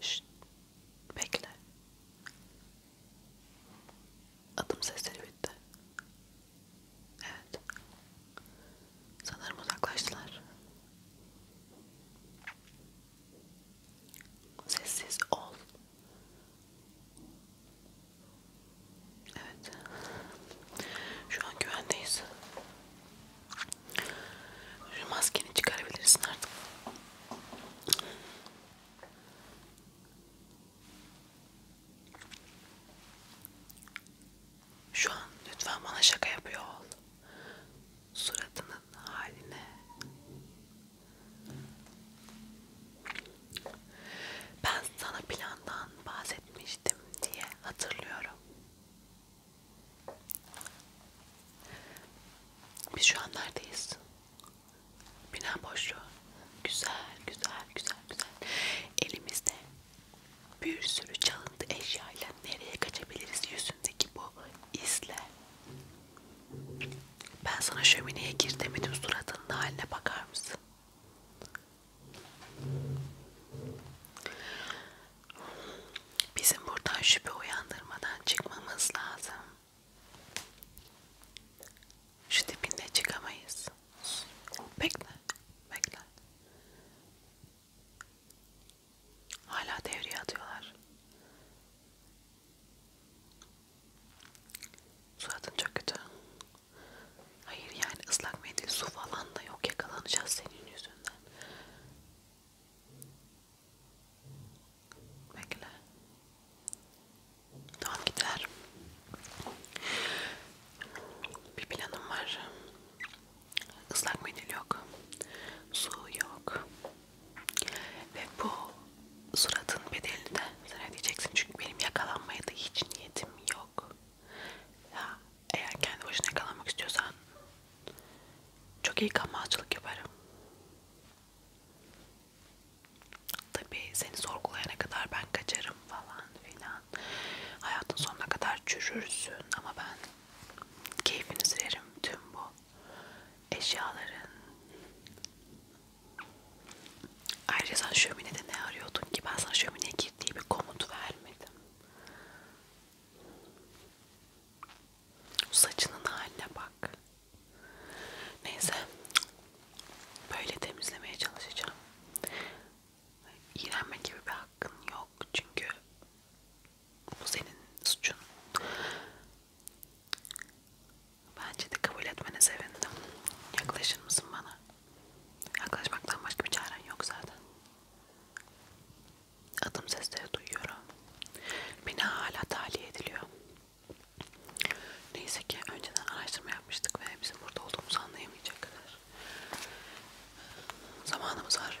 Şşt, bekle. Adım sesleri bitti. Evet. Sanırım uzaklaştılar. Sessiz ol. Evet. Şu an güvendeyiz. Şu maskeni çıkarabilirsin artık. Şu an lütfen bana şaka yapıyor ol. Suratının haline. Ben sana plandan bahsetmiştim diye hatırlıyorum. Biz şu an neredeyiz? Bina boşluğu. Güzel, güzel, güzel, güzel. Elimizde bir sürü çalıntı eşyayla nereye kaçabiliriz? Yüzündeki bu izle. Ben sana şömineye gir demedim. Suratının haline bakar mısın? Bizim buradan şüphe uyandırmadan çıkmamız lazım. Şu dibinde çıkamayız. Bekle, bekle. Hala devreye atıyorlar. Suratın çok kötü. Hayır yani ıslak mendil su falan da yok yakalanacağız senin yüzünden. Bekle. Tamam gider. Bir planım var. Islak mendil yok. Su yok. Ve bu suratın bedelini de sen ödeyeceksin. Çünkü benim yakalanmaya da hiç niyetim yok. Ya eğer kendi başına yakalanmak istiyorsan çok iyi kanmazcılık yaparım. Tabii seni sorgulayana kadar ben kaçarım falan filan. Hayatın sonuna kadar çürürsün ama ben keyfini sürerim tüm bu eşyaların. Ayrıca sen şöminede ne arıyordun ki? Ben sana şömineye gir diye bir komut vermedim. Saçının haline bak. Neyse. Böyle temizlemeye çalışacağım. İğrenme gibi bir hakkın yok. Çünkü bu senin suçun. Bence de kabul etmene sevindim. Yaklaşır mısın bana? Yaklaşmaktan başka bir çaren yok zaten. Adım sesleri duyuyorum. Beni hala tahliye ediliyor. Neyse ki önceden araştırma yapmıştık ve bizim burada olduğumuzu anlayamayacak kadar zamanımız var.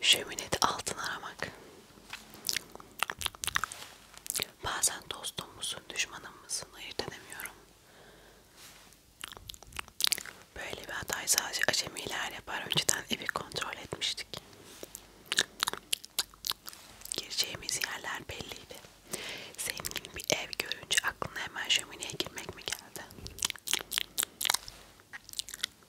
Şöminede altın aramak. Bazen dostum musun, düşmanım mısın ayırt edemiyorum. Böyle bir hatayı sadece acemiler yapar. Önceden evi kontrol etmiştik. Gireceğimiz yerler belliydi. Zengin bir ev görünce aklına hemen şömineye girmek mi geldi?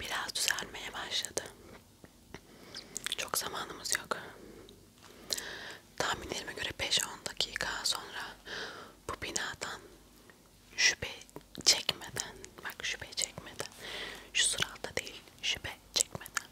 Biraz düzelmeye başladı. Çok zamanımız yok. Tahminlerime göre 5-10 dakika sonra bu binadan şüphe çekmeden, bak şüphe çekmeden, şu sırada değil şüphe çekmeden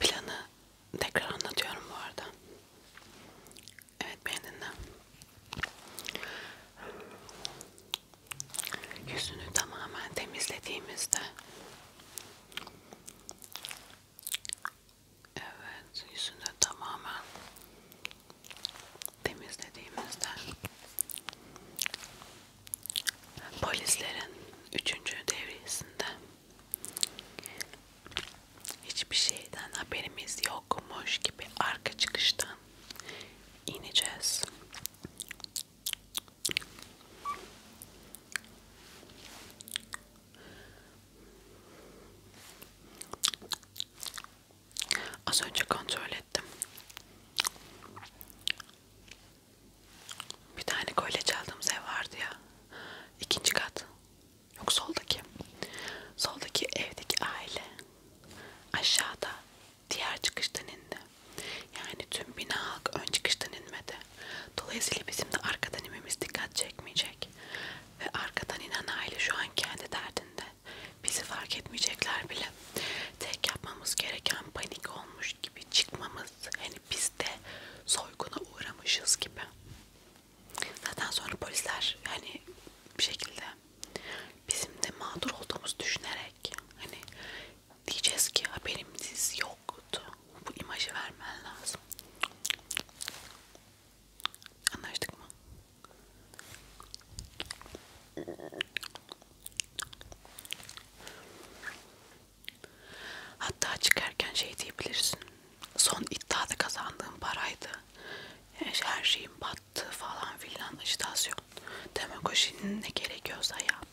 Planı tekrar anlatıyorum bu arada. Evet beni dinle. Yüzünü tamamen temizlediğimizde Evet yüzünü tamamen temizlediğimizde polislerin üçüncü devriyesinde hiçbir şeyden haberimiz yokmuş gibi arka çıkıştan ineceğiz. Az önce kontrol ettim. Bir tane kolye çaldığımız ev vardı ya. İkinci kat. Yok soldaki. Soldaki evdeki aile. Aşağıda diğer çıkıştan indi. Yani tüm bina halk ön çıkıştan inmedi. Dolayısıyla bizim de arkadan inmemiz dikkat çekmeyecek. Ve arkadan inen aile şu an kendi derdinde. Bizi fark etmeyecekler bile. Tek yapmamız gereken panik olmuş yokmuş gibi çıkmamız hani biz de soyguna uğramışız gibi. Zaten sonra polisler hani bir şekilde bizim de mağdur olduğumuzu düşünerek hani diyeceğiz ki haberimiz yoktu. Bu imajı vermen lazım. Anlaştık mı? Hatta çıkarken şey diyebilirsin. Son iddiada kazandığım paraydı. Her şeyim battı falan filan ajitasyon. Demagojinin ne gerekiyorsa yap.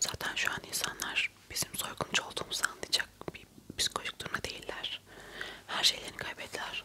Zaten şu an insanlar bizim soyguncu olduğumuzu anlayacak bir psikolojik durumda değiller. Her şeylerini kaybettiler.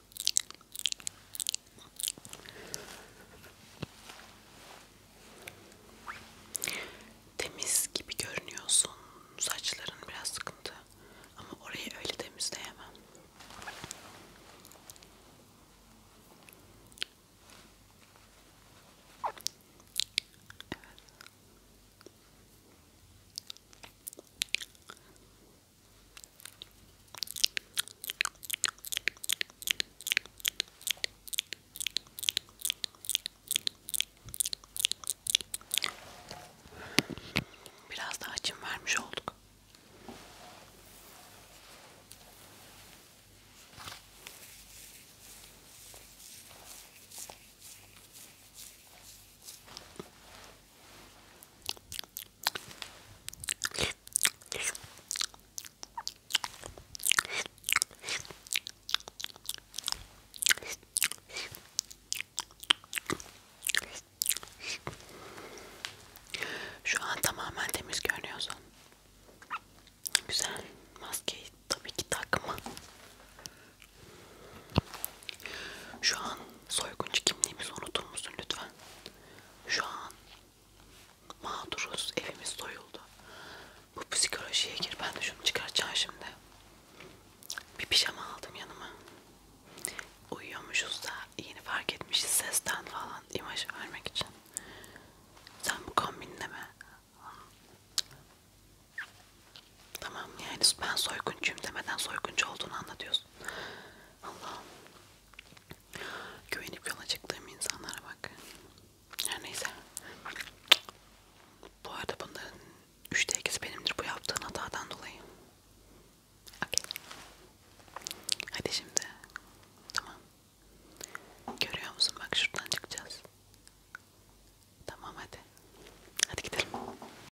Temiz gibi görünüyorsun. Saçların biraz sıkıntı. Ama orayı öyle temizleyemem. Evet. Biraz daha açım vermiş olduk. Şu an tamamen temiz görünüyorsun. Güzel. Maskeyi tabii ki takma. Şu an soyguncu kimliğimizi unutur musun lütfen? Şu an mağduruz, evimiz soyuldu. Bu psikolojiye gir, ben de şunu çıkartacağım şimdi. Bir pijama aldım yanıma. Uyuyormuşuz da yeni fark etmişiz sesten falan imaj vermek için. Sen bu kombinle mi? Tamam yani ben soyguncuyum demeden soyguncu olduğunu anlatıyorsun olsun. Allah'ım. Güvenip yola çıktığım insanlara bak. Her neyse. Bu arada bunların 3'te 2'si benimdir bu yaptığın hatadan dolayı. Okay. Hadi şimdi. Tamam. Görüyor musun? Bak şuradan çıkacağız. Tamam hadi. Hadi gidelim.